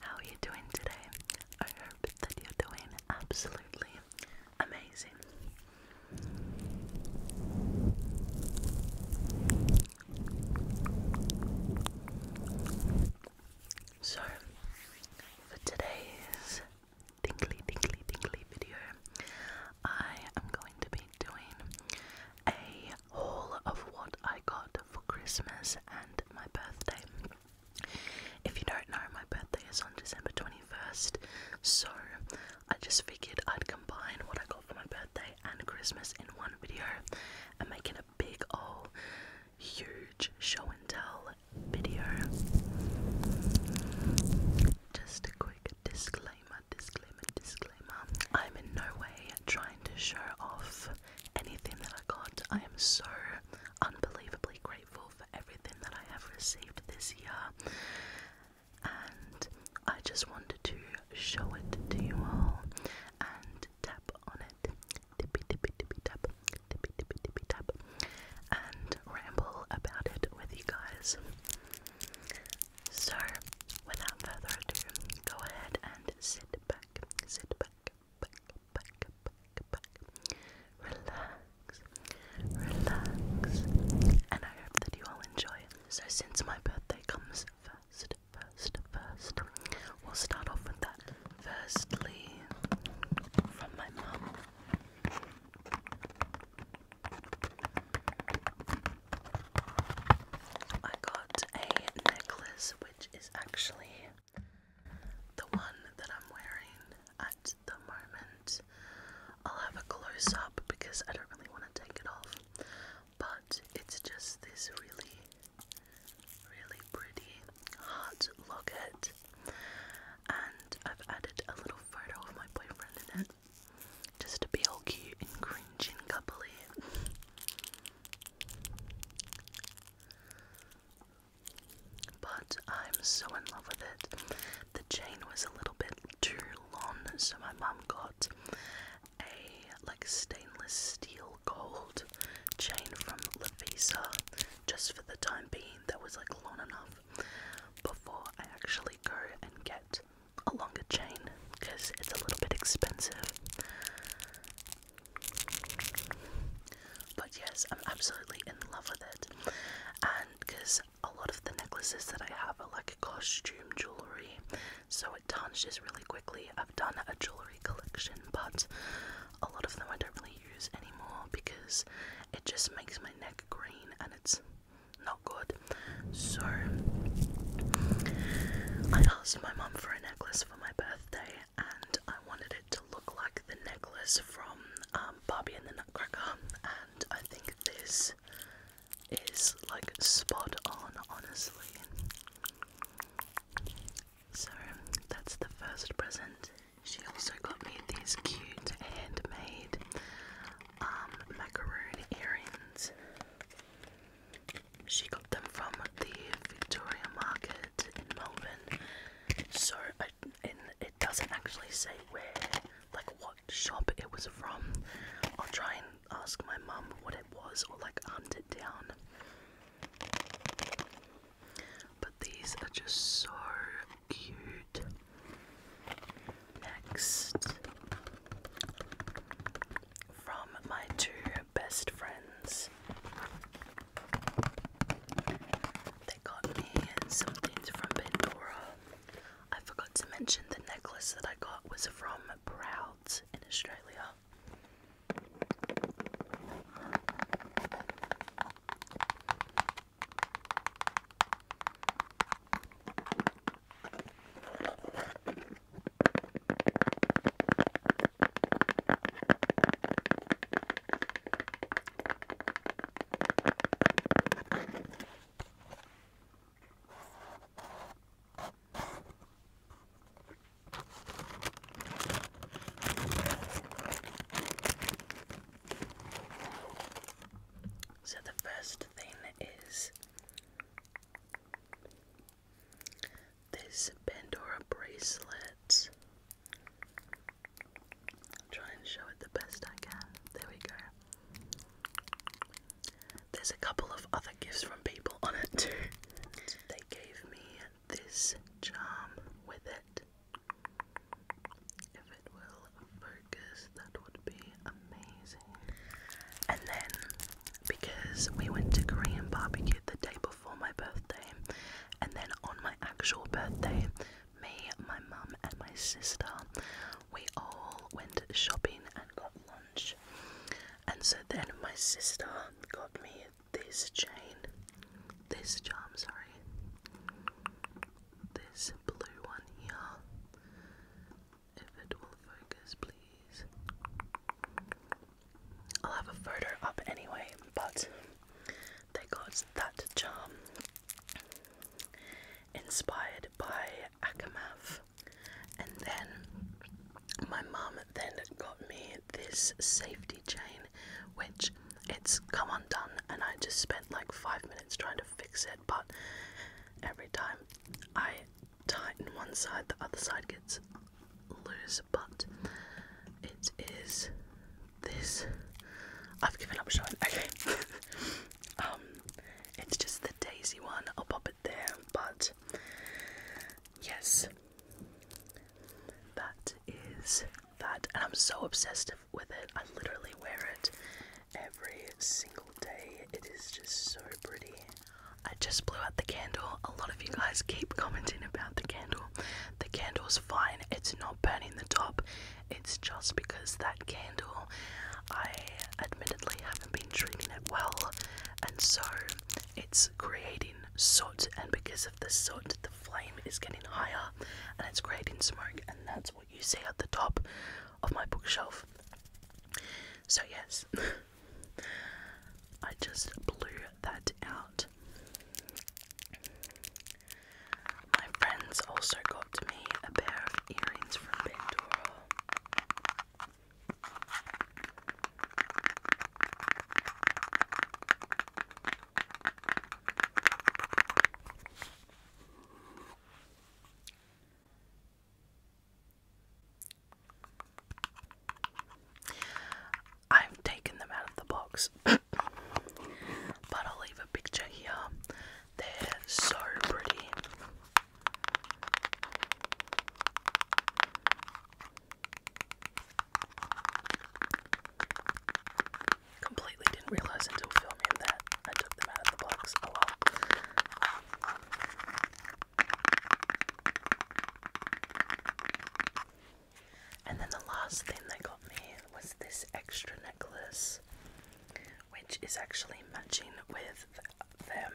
How are you doing today? I hope that you're doing absolutely amazing. So, for today's tingly, tingly, tingly video, I am going to be doing a haul of what I got for Christmas and my birthday. If you don't know, my birthday is on December 21st, so I just figured I'd combine what I got for my birthday and Christmas in one video and make it a big old huge show and tell video. Just a quick disclaimer, disclaimer, disclaimer. I'm in no way trying to show off anything that I got. I am so unbelievably grateful for everything that I have received this year. And I just wanted to show it to you all and tap on it. Tippy tippy tippy tap. Tippy tippy tippy tap. And ramble about it with you guys. So, without further ado, go ahead and sit back, sit back, Relax, relax. And I hope that you all enjoy. So since my birthday comes first, first, first, we'll start off with that. Firstly, from my mum. I got a necklace which is actually the one that I'm wearing at the moment, I'll have a close up because I don't really want to take it off, but it's just this really, really pretty heart locket, and I've added a little photo of my boyfriend in it just to be all cute and cringy and coupley. But I'm so in love with it. The chain was a little bit too long, so my mom got a like stainless steel gold chain from Lavisa just for the time being that was like long enough before I actually go and get a longer chain because it's a little bit expensive. But yes, I'm absolutely in love with it. And because a lot of the necklaces that I have are like costume jewellery, so it just really quickly. I've done a jewellery collection, but a lot of them I don't really use anymore because it just makes my neck green and it's not good. So I asked my mom for a necklace for my birthday and I wanted it to look like the necklace from um, Barbie and the Nutcracker, and I think this is like spot on, honestly. So that's the first present. She also got me these cute handmade um, macaroon earrings. She got them from the Victoria Market in Melbourne. So I, it doesn't actually say where, like what shop it was from. I'll try and ask my mum what it was or like hunt it down. But these are just so cute. Next, from my two best friends. They got me some from Pandora. I forgot to mention the necklace that I got was from Prouds in Australia. So the first thing is this Pandora bracelet. try and show it the best I can. There we go. There's a couple of other gifts from people on it too. They gave me this charm with it. If it will focus, that would be amazing. And then because we went to Korean barbecue the day before my birthday, and then on my actual birthday, me, my mum, and my sister, we all went shopping and got lunch. And so then my sister got me this chain, this charm, sorry, this blue one here. If it will focus, please. I'll have a photo up anyway, but they got that charm inspired by Akamath. And then my mum then got me this safety chain, which it's come undone, and I just spent like five minutes trying to fix it. But every time I tighten one side, the other side gets loose, but it is this. I've given up showing. Okay. Um, it's just the daisy one. I'll pop it there, but yes, that is that. And I'm so obsessed with it. I literally wear it every single day. It is just so pretty. I just blew out the candle. A lot of you guys keep commenting about the candle. The candle's fine, it's not burning the top. It's just because that candle, I admittedly haven't been treating it well, and so it's creating soot. And because of the soot, the flame is getting higher and it's creating smoke, and that's what you see at the top of my bookshelf. So, yes. I just blew that out. My friends also got me a pair of earrings from Pandora. I've taken them out of the box, but I'll leave a picture here. They're so pretty. Completely didn't realize until filming that I took them out of the box a oh and then the last thing they got me was this extra necklace, which is actually matching with them.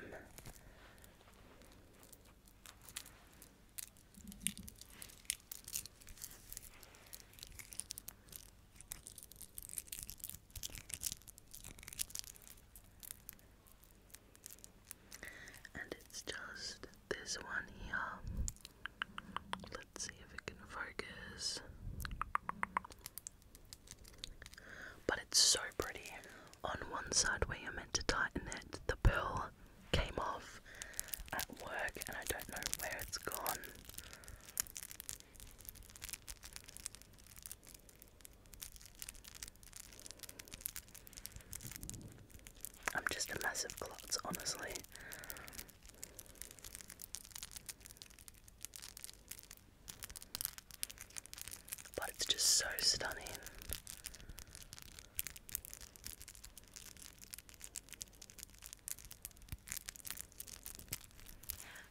And it's just this one here. Let's see if it can focus. But it's so pretty. On one side where you're meant to tighten it, the pearl came off at work and I don't know where it's gone. I'm just a mess of clots, honestly. But it's just so stunning.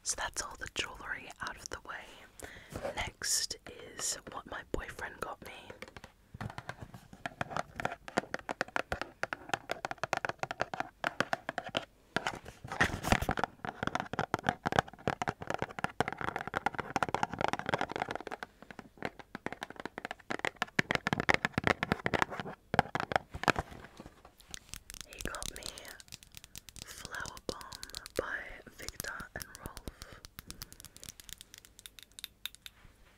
So that's all the jewellery out of the way. Next is what my boyfriend got me. He got me Flower Bomb by Victor and Rolf.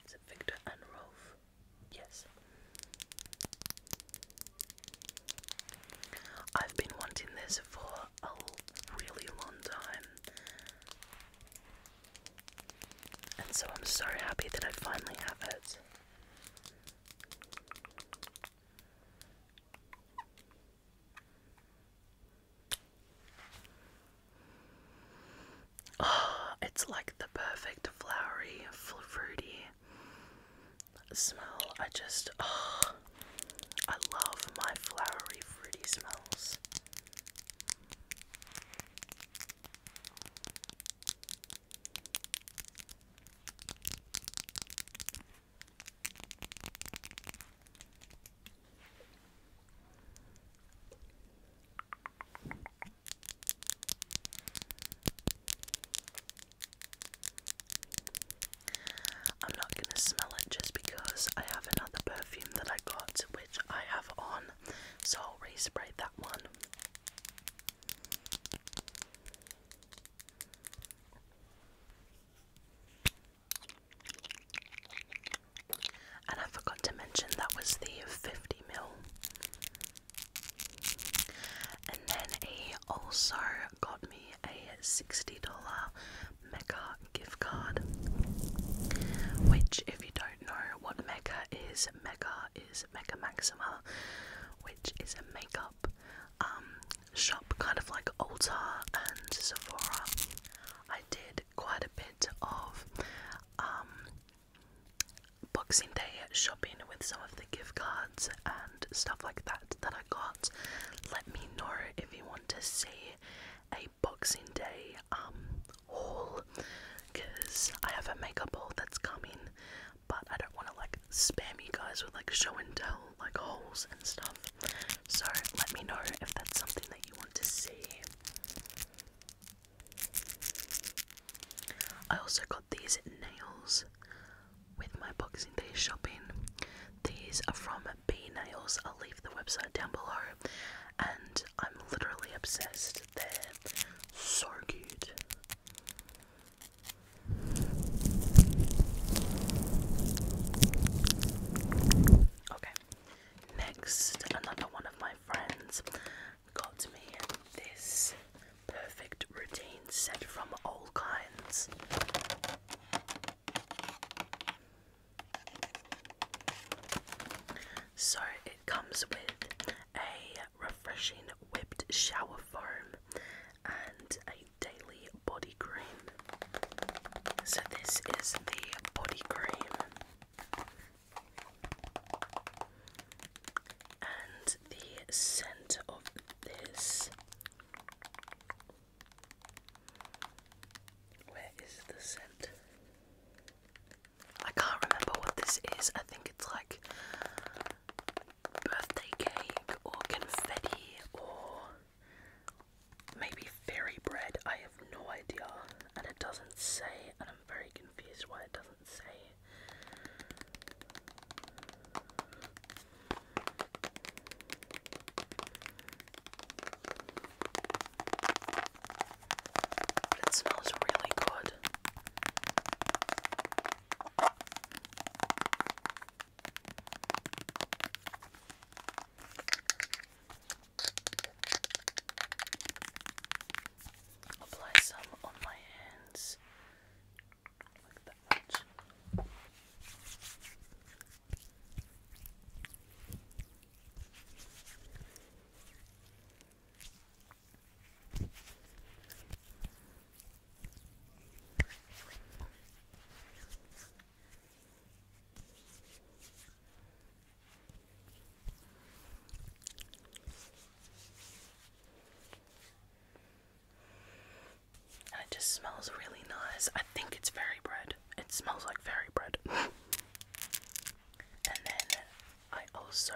Is it Victor and Rolf? Yes. I've been wanting this for a really long time. And so I'm so happy that I finally have it. Oh, it's like the perfect flowery, fruity smell. I just, oh, I love my flowery, fruity smells. I'm not going to smell it just because I have another perfume that I got which I have on, so I'll respray that one. And I forgot to mention that was the 50 mil. And then he also got me a $60 Mecca gift card. Which, if you don't know what Mecca is, Mecca is Mecca Maxima, which is a makeup um, shop, kind of like Ulta and Sephora. I did quite a bit of um, Boxing Day shopping with some of the gift cards and stuff like that that I got. Let me know if you want to see a Boxing Day um, haul because I have a makeup haul that's coming, but I don't want to like spam you guys with like show and tell like hauls and stuff. So let me know if that's something that you want to see. I also got these nails with my Boxing Day shopping. These are from B Nails. I'll leave the website down below. And I'm literally obsessed. They're so cute. Okay, Next, another one of my friends got me this perfect routine set from all kinds. So it comes with a refreshing whipped shower foam and a daily body cream. So this is the body cream and the scent of this. Where is the scent? I can't remember what this is. I think it's like birthday cake or confetti or maybe fairy bread, I have no idea. And it doesn't say, and I'm very confused why it doesn't say. it smells really good. Apply some on my hands. Like that it just smells really nice. I think it's fairy bread. It smells like fairy bread. and then I also,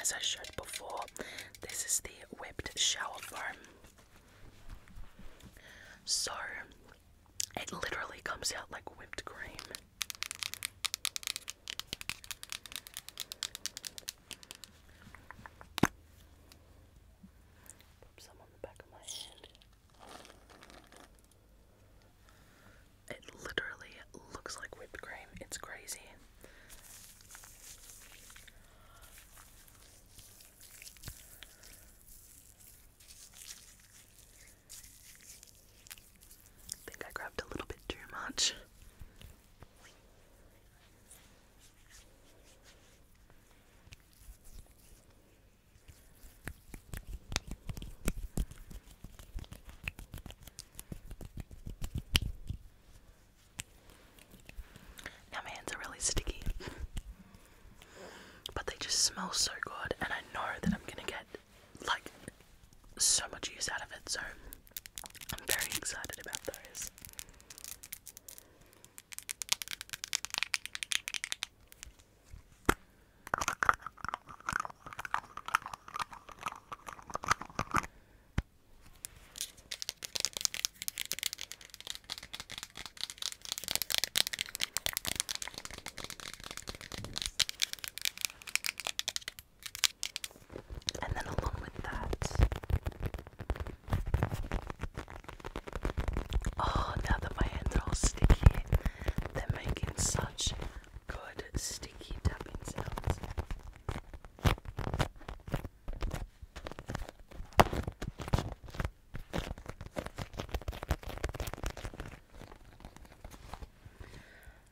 as I showed before, this is the whipped shower foam. So it literally comes out like whipped cream. Put some on the back of my hand. It literally looks like whipped cream. It's crazy. I think I grabbed a little bit too much. Now my hands are really sticky. But they just smell so good, and I know that I'm gonna get like so much use out of it, so I'm very excited about those. And then along with that, oh, now that my hands are all sticky, they're making such good sticky tapping sounds.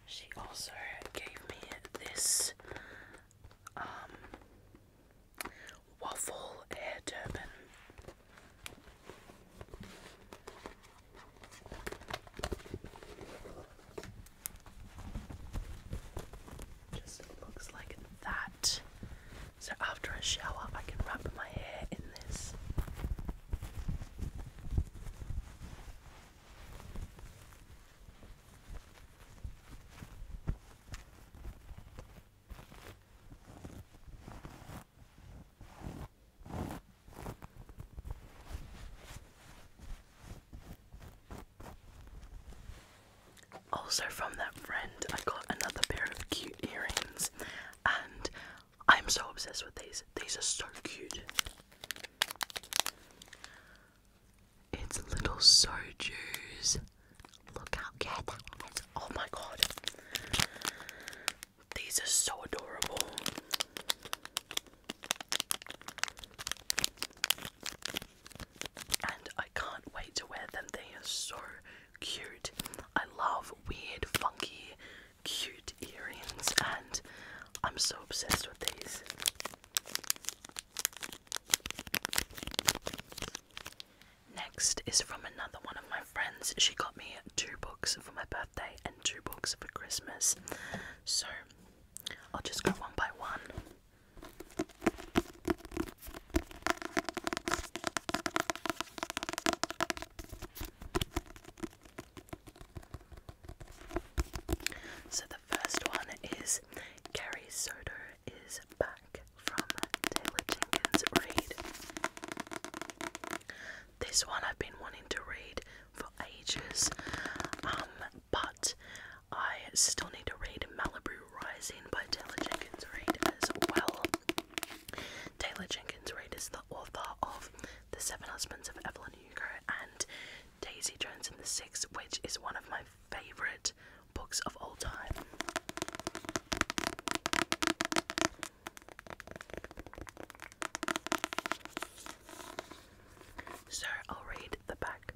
She also gave me this um, waffle hair turban. Just looks like that. So after a shower, I can wrap my hair in this. Also, from that friend, I got another pair of cute earrings, I'm so obsessed with these. These are so cute. It's little sojus. Look how cute that is. Oh my god. These are so adorable. And I can't wait to wear them. They are so cute. I love weird, funky, cute earrings, and I'm so obsessed with these. Next is from another one of my friends. She got me two books for my birthday and two books for Christmas. So I'll just go one by one. So the first one is Carrie Soto is back from Taylor Jenkins Reid. This one I've been wanting to read for ages, um, but I still need to read Malibu Rising by Taylor Jenkins Reid as well. Taylor Jenkins Reid is the author of The Seven Husbands of Evelyn Hugo and Daisy Jones and the Six, which is one of my favourite books of all time. So I'll read the back.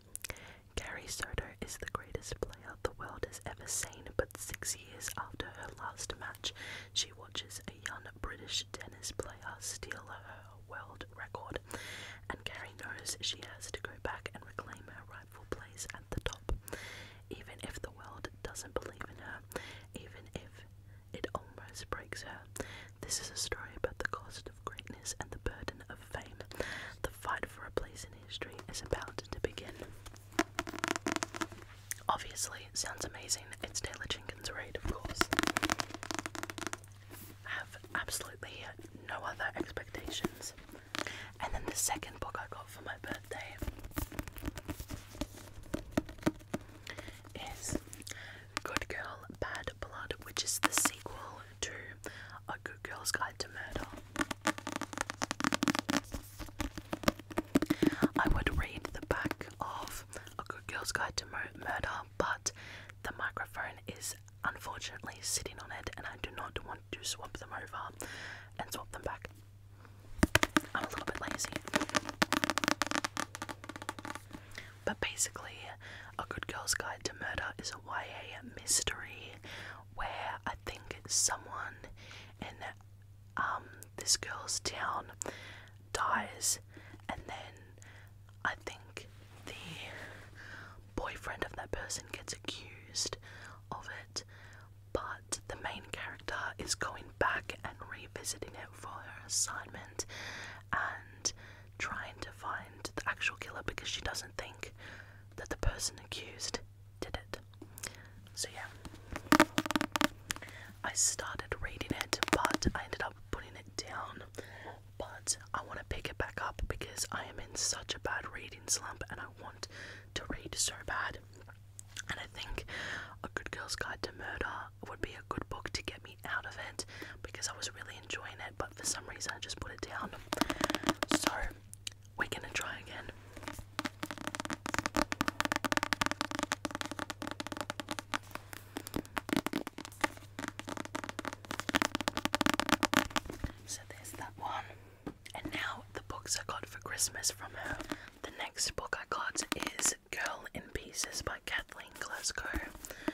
Gary Soto is the greatest player the world has ever seen, six years after her last match, she watches a young British tennis player steal her world record, and Carrie knows she has to go back and reclaim her rightful place at the top. Even if the world doesn't believe in her, even if it almost breaks her. This is a story about the cost of greatness and the burden of fame. The fight for a place in history is about to begin. Obviously, it sounds amazing. It's Taylor Jenkins Reid, of course. Have absolutely no other expectations. And then the second book I got for my birthday is Good Girl, Bad Blood, which is the sequel to A Good Girl's Guide to Murder. I would read the back of A Good Girl's Guide to Murder, but the microphone is unfortunately sitting on it, and I do not want to swap them over and swap them back. I'm a little bit lazy. But basically, A Good Girl's Guide to Murder is a YA mystery where I think someone in um, this girl's town dies, and then I think the boyfriend of that person gets accused of it, but the main character is going back and revisiting it for her assignment and trying to find the actual killer because she doesn't think that the person accused did it. So yeah, I started reading it, but I ended up putting it down. But I want to pick it back up because I am in such a bad reading slump and I want to read so bad. And I think A Good Girl's Guide to Murder would be a good book to get me out of it because I was really enjoying it, but for some reason I just put it down. So we're gonna try again. So there's that one. And now the books I got for Christmas from her. The next book I got is Girl in Pieces by Kathleen Glasgow.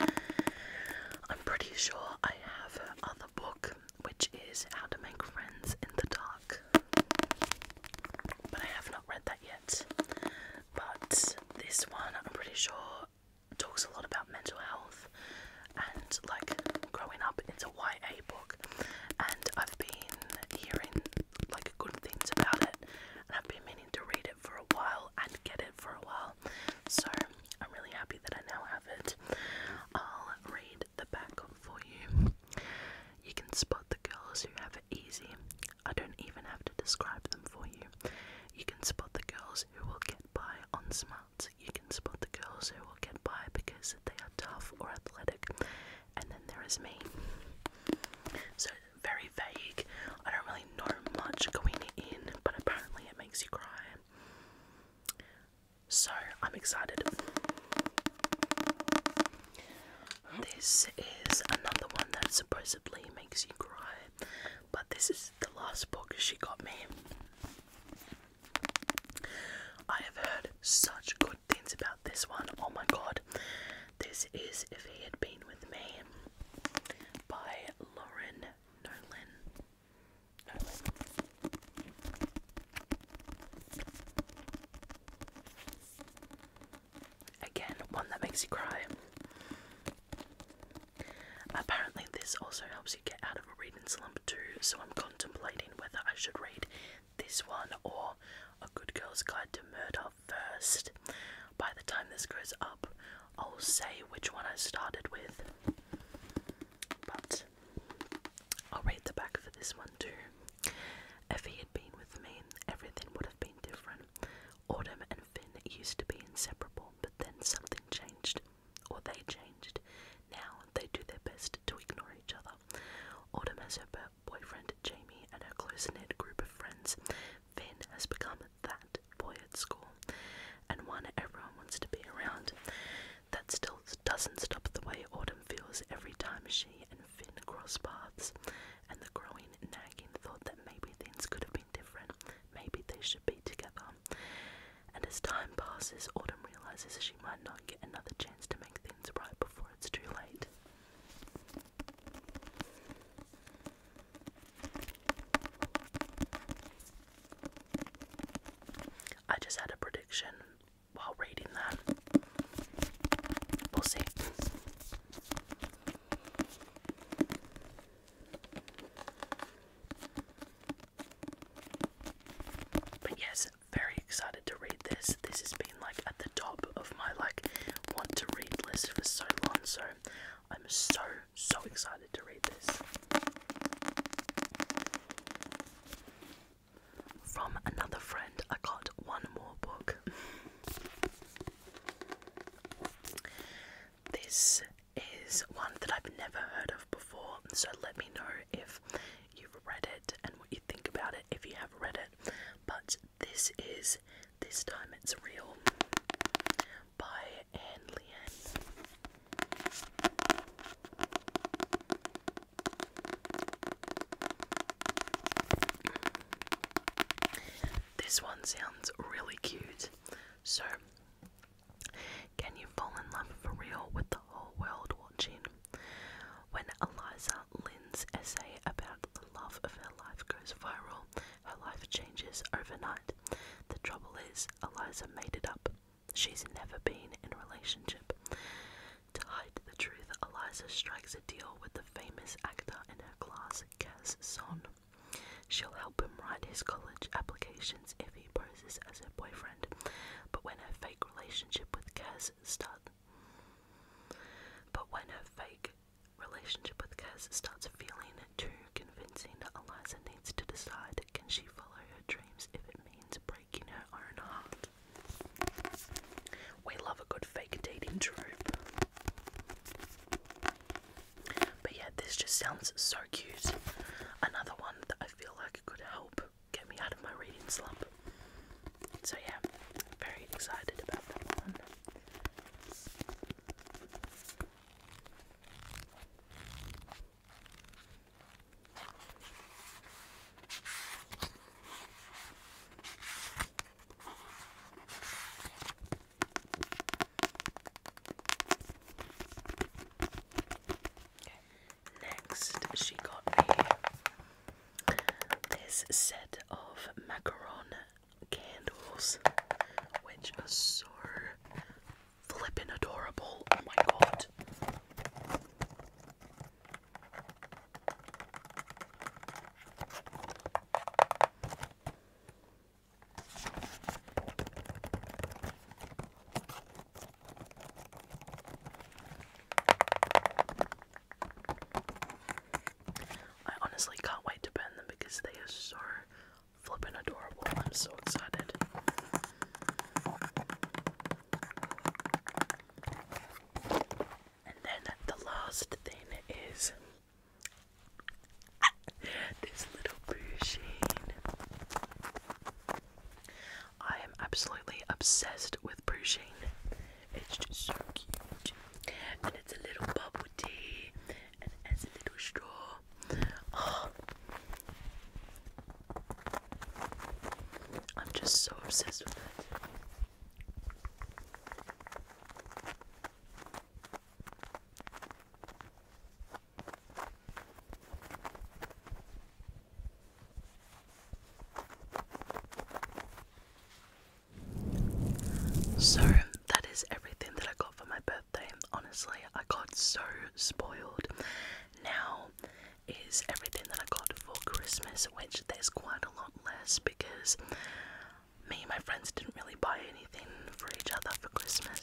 I'm pretty sure I have her book, which is How to Make Friends in the Dark. But I have not read that yet. But this one, I'm pretty sure, talks a lot about mental health and like growing up. It's a YA book, and I've been hearing like good things about it, and I've been meaning to read it for a while and get it for a while. So I'm really happy that I now have it. I'll read the back for you. You can spot the girls who have it easy. I don't even have to describe them for you. You can spot the girls who will get by on smarts. You can spot the girls who will get by because they are tough or athletic. And then there is me. So, very vague. I don't really know much going in, but apparently it makes you cry. So I'm excited. This is another one that supposedly makes you cry, but this is the last book she got me. I have heard such good things about this one. Oh my god. This is If He Had Been With Me by Lauren Nolan. Again, one that makes you cry. Apparently, this also helps you get out of a reading slump too, so I'm contemplating whether I should read this one or A Good Girl's Guide to Murder first. By the time this goes up, I'll say which one I started with. But I'll read the back for this one too. If he had been with me, everything would have been different. Autumn and Finn used to be inseparable, but then something changed, or they changed. Now they do their best to ignore each other. Autumn has her boyfriend Jamie and a close knit group of friends. Finn has become that boy at school, and one everyone wants to be around. That still doesn't stop the way Autumn feels every time she and Finn cross paths, and the growing nagging thought that maybe things could have been different, maybe they should be together. And as time passes, Autumn realizes she might not get another chance to make things right before it's too late. I just had a prediction while reading that. We'll see. But yes, very excited to read this. This has been like at the top of my like want to read list for so long, so I'm so so excited to read this. From another friend, I got one more book. This is one that I've never heard of before, so let me know if you've read it and what you think about it if you have read it. But this is This Time It's Real by Anne Leanne. This one sounds really cute. So, can you fall in love for real with the whole world watching? When Eliza Lynn's essay about the love of her life goes viral, her life changes overnight. The trouble is, Eliza made it up. She's never been in a relationship. To hide the truth, Eliza strikes a deal with the famous actor in her class, Kaz Son. She'll help him write his college applications if he poses as her boyfriend, but when her fake relationship with Kaz starts, but when her fake relationship with Kaz starts feeling too convincing, Eliza needs to decide: can she follow her dreams if it means breaking her own heart? We love a good fake dating trope. But yeah, this just sounds so cute. Another one that I feel like could help get me out of my reading slump. So yeah, very excited about that one. Next, she got me this set of macaron candles, which are so flippin' adorable. Oh my god. I honestly can't wait to bend them because they are so flippin' adorable. I'm so excited. And then the last thing is this little boo I am absolutely obsessed with boo It's just so cute. And it's a little bubble tea and it has a little straw. Oh, I'm just so obsessed with it. So, that is everything that I got for my birthday. Honestly, I got so spoiled. Now, is everything that I got for Christmas, which there's quite a lot less because me and my friends didn't really buy anything for each other for Christmas,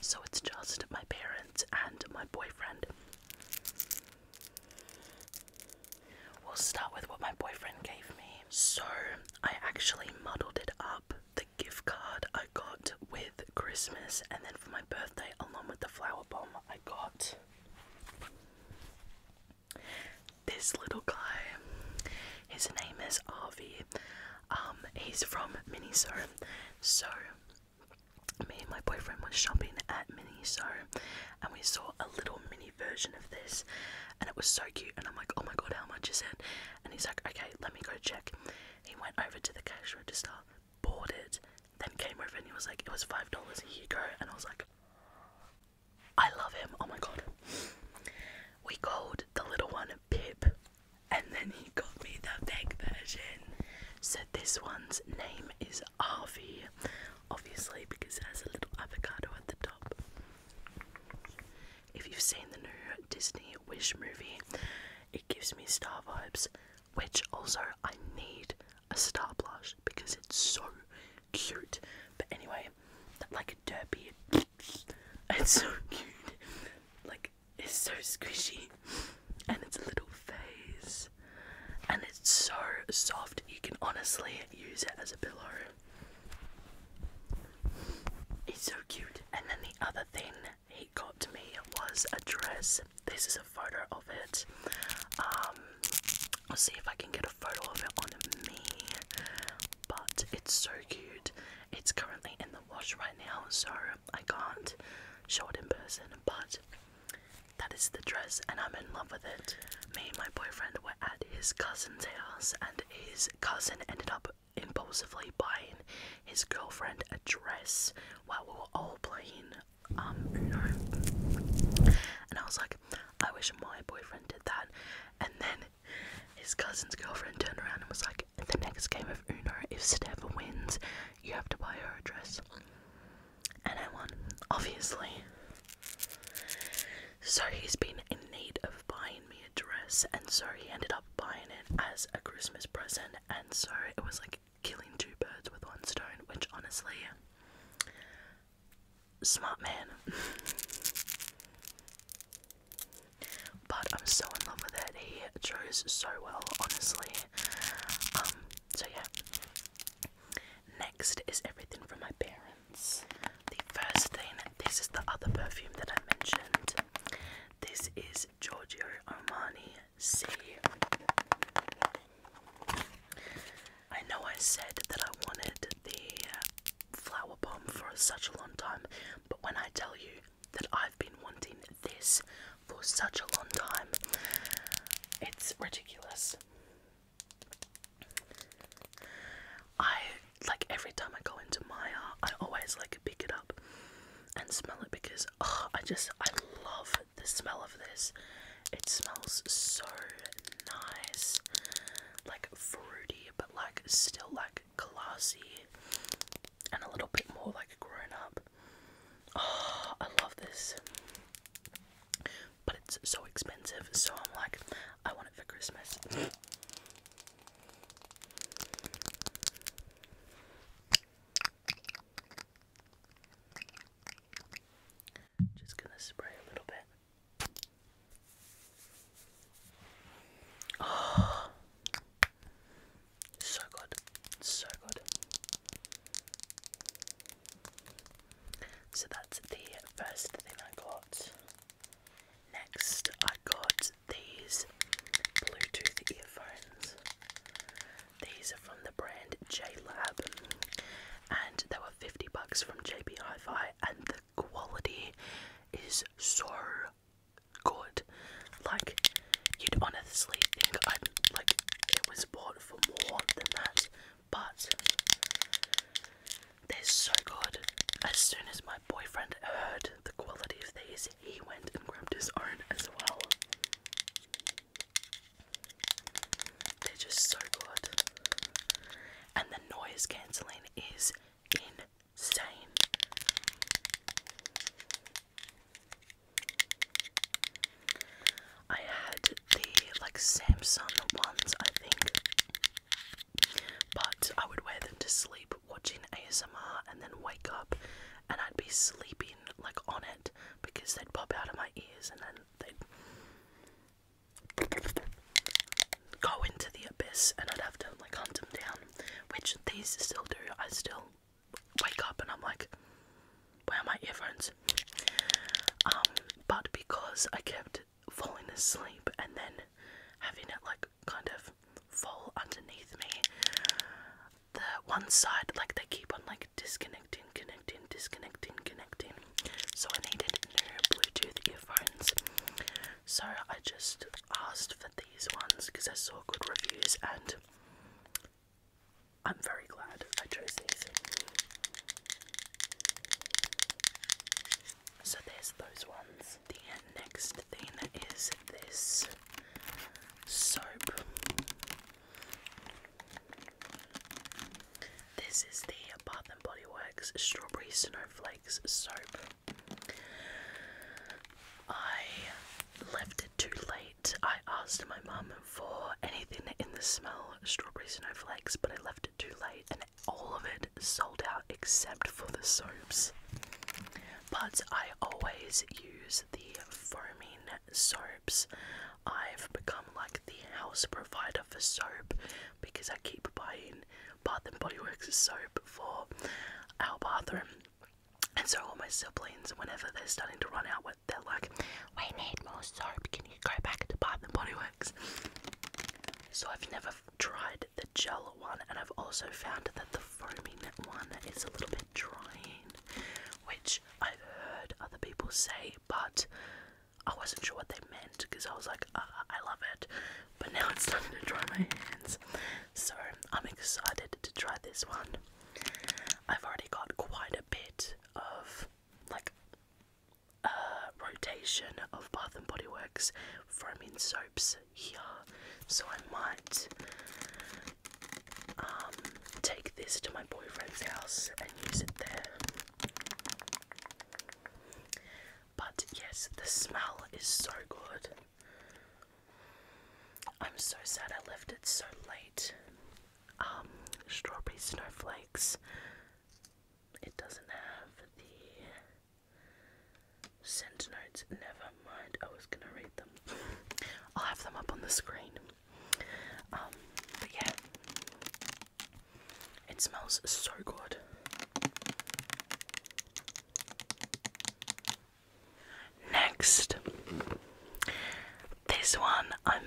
so it's just my parents and my boyfriend. We'll start with what my boyfriend gave me. So, I actually muddled it up the gift card I got with Christmas, and then for my birthday, along with the flower bomb, I got this little guy, his name is Arvi. Um, he's from Miniso. So, me and my boyfriend were shopping at Miniso, and we saw a little mini version of this, and it was so cute. And I'm like, oh my god, how much is it? And he's like, okay, let me go check. He went over to the cash register bought it, then came over and he was like, it was five dollars a year ago, and I was like, I love him. Oh my god. We called the little one Pip, and then he got me the veg version. So this one's name is Arvie, obviously because it has a little avocado at the top. If you've seen the new Disney Wish movie, it gives me star vibes, which also I need a star blush because it's so cute. But anyway, that, like a derpy, it's so cute. Like it's so squishy, and it's a little face, and it's so soft. You can honestly use it as a pillow. It's so cute. And then the other thing he got to me was a dress this is a photo of it. Um, I'll see if I can get a photo of it on me. But it's so cute. It's currently in the wash right now, so I can't show it in person. But that is the dress, and I'm in love with it. Me and my boyfriend were at his cousin's house, and his cousin ended up impulsively buying his girlfriend a dress while we were all playing um no and i was like i wish my boyfriend did that and then his cousin's girlfriend turned around and was like the next game of uno if steph wins you have to buy her a dress and i won obviously so he's been in need of buying me a dress and so he ended up buying it as a christmas present and so it was like killing two birds with one stone, which honestly, smart man. but I'm so in love with it. He chose so well, honestly. Um, so yeah. Next is everything from my parents. The first thing, this is the other perfume that I mentioned. This is Giorgio Armani see. I know I said that I wanted the flower bomb for such a long time, but when I tell you that I've been wanting this for such a long time, it's ridiculous. I like every time I go into Maya, I always like pick it up and smell it because oh, I just I love the smell of this. It smells so nice, like fruity, but like still like classy and a little bit more like grown up. Oh, I love this. But it's so expensive, so I'm like, I want it for Christmas. Just gonna spray a little bit. Oh, so good, so good. So that's the first thing I got. Next, I got these Bluetooth earphones. These are from the brand J Lab, and they were 50 bucks from JB Hi-Fi, and the quality is so good. Like you'd honestly think I like it was bought for more than that, but they're so good. As soon as my boyfriend heard the quality of these, he went and grabbed his own as well. They're just so good. And the noise cancelling is insane. I had the like Samsung ones, I think. But I would wear them to sleep watching ASMR and then wake up and I'd be sleepy like on it because they'd pop out of my ears and then they'd go into the abyss and I'd have to like hunt them down, which these still do. I still wake up and I'm like, where are my earphones? Um, but because I kept falling asleep and then having it like kind of fall underneath me, the one side, like they keep on like disconnecting, connecting, disconnecting, connecting. So I needed new Bluetooth earphones. So I just asked for these ones because I saw good reviews and I'm very glad I chose these. So there's those ones. The next thing is this soap. This is the Bath and Body Works Strawberry Snowflakes soap. I left it too late. I asked my mum for anything in the smell strawberry snowflakes, but I left it too late and all of it sold out except for the soaps. But I always use the foaming soaps, I've become like the house provider for soap because I keep buying Bath and Body Works soap for our bathroom. And so all my siblings, whenever they're starting to run out, they're like, "We need more soap. Can you go back to Bath and Body Works?" So I've never tried the gel one, and I've also found that the foaming one is a little bit drying, which I've heard other people say, but I wasn't sure what they meant because I was like, uh, I love it, but now it's time to dry my hands. So I'm excited to try this one. I've already got quite a bit of like a rotation of Bath and Body Works foaming soaps here, so I might um, take this to my boyfriend's house and use it there. But yes, the smell is so good. I'm so sad I left it so late. Um, strawberry snowflakes. It doesn't have the scent notes. Never mind, I was gonna read them. I'll have them up on the screen. Um, but yeah, it smells so good. Next, this one I'm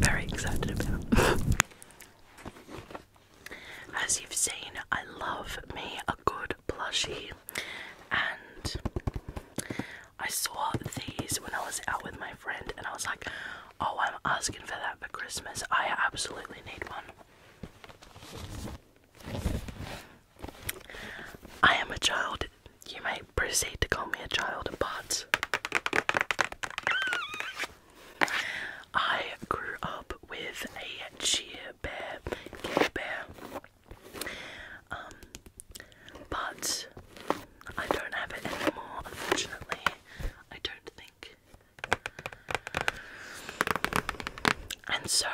very excited about. As you've seen, I love me a good plushie, and I saw these when I was out with my friend, and I was like, oh, I'm asking for that for Christmas. I absolutely need one. I am a child. You may proceed to call me a child, but I grew up with a cheer bear, care bear. Um, but I don't have it anymore, unfortunately. I don't think. And so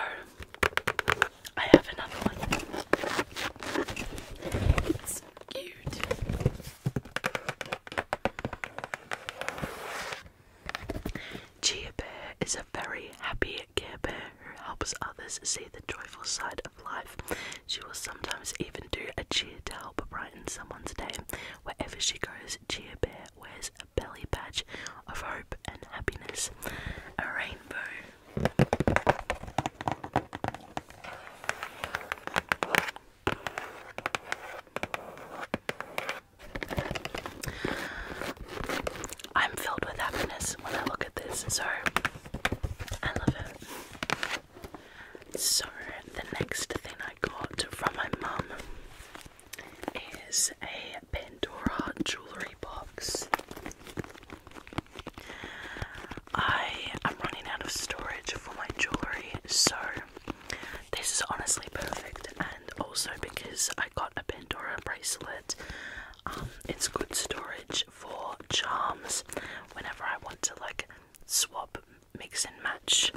I have another one. It's cute. Chia is a very happy Care who helps others see the joyful side life. She will sometimes even do a cheer to help brighten someone's day. Wherever she goes, Cheer Bear wears a belly patch of hope and happiness. A rainbow. I'm filled with happiness when I look at this, so I love it. So, the next thing I got from my mum is a Pandora jewellery box. I am running out of storage for my jewellery, so this is honestly perfect, and also because I got a Pandora bracelet, um, it's good storage for charms whenever I want to like swap, mix and match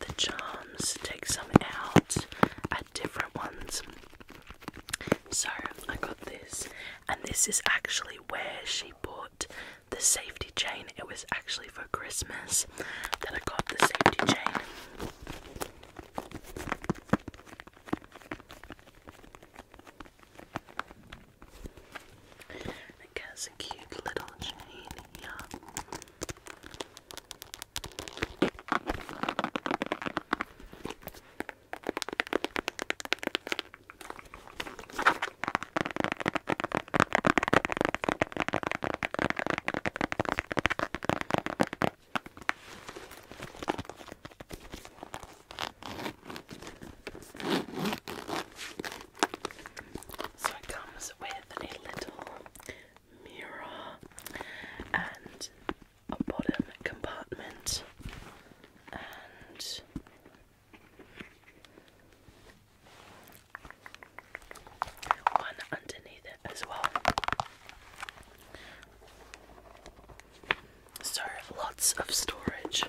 the charms, take some out, add different ones. So I got this, and this is actually where she bought the safety chain. It was actually for Christmas that I got the safety chain. It has a cute little chain here. So it comes with a little mirror and a bottom compartment and one underneath it as well. So lots of storage.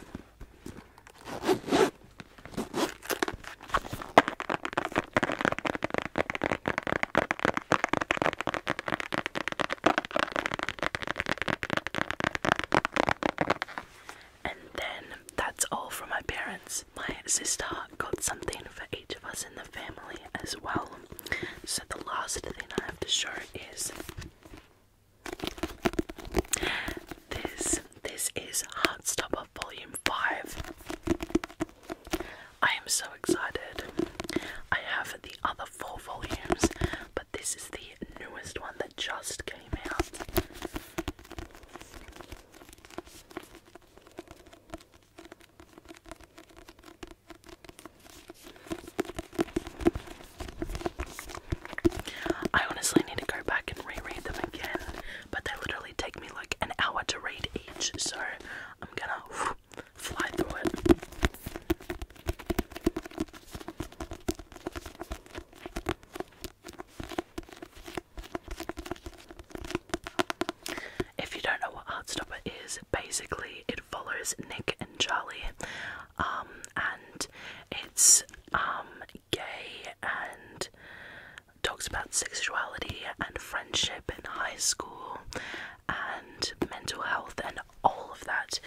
And then that's all from my parents. My sister got something for each of us in the family as well. So the last thing I have to show is this this is Heartstopper Volume 5. I am so excited. I have the other four volumes, but this is the newest one that just came out. I honestly need to go back and reread them again, but they literally take me like an hour to read each, so I'm gonna fly through it. If you don't know what Heartstopper is, basically it follows Nick and Charlie um, and it's um, gay and talks about sexuality and friendship in high school and mental health and all of that,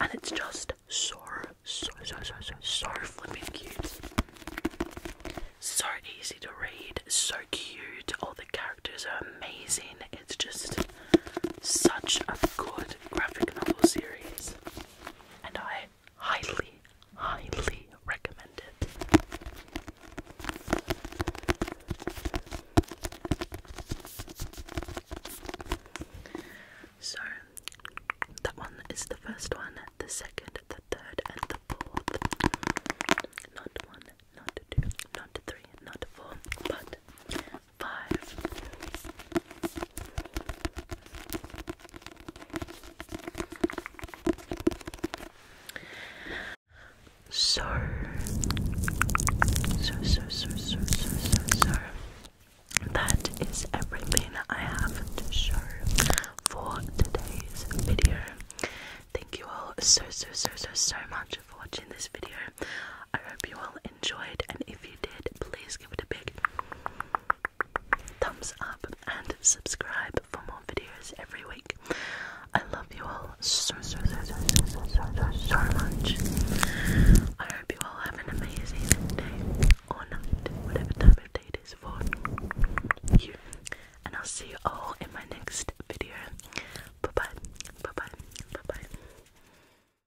and it's just so so so so so so flipping cute. So easy to read, so cute. All the characters are amazing. It's just such a good graphic novel series, and I highly, highly recommend it. So, that one is the first one, the second, the third, and the fourth. Not one, not two, not three, not four, but so, so, so, so, so, so, so, that is everything I have to show for today's video. Thank you all so, so, so, so, so much for watching this video. I hope you all enjoyed, and if you did, please give it a big thumbs up and subscribe for more videos every week. I love you all so, so, so, so, so, so, so, so much. I hope you all have an amazing day or night, whatever time of day it is for you. And I'll see you all in my next video. Bye bye. Bye bye. Bye bye.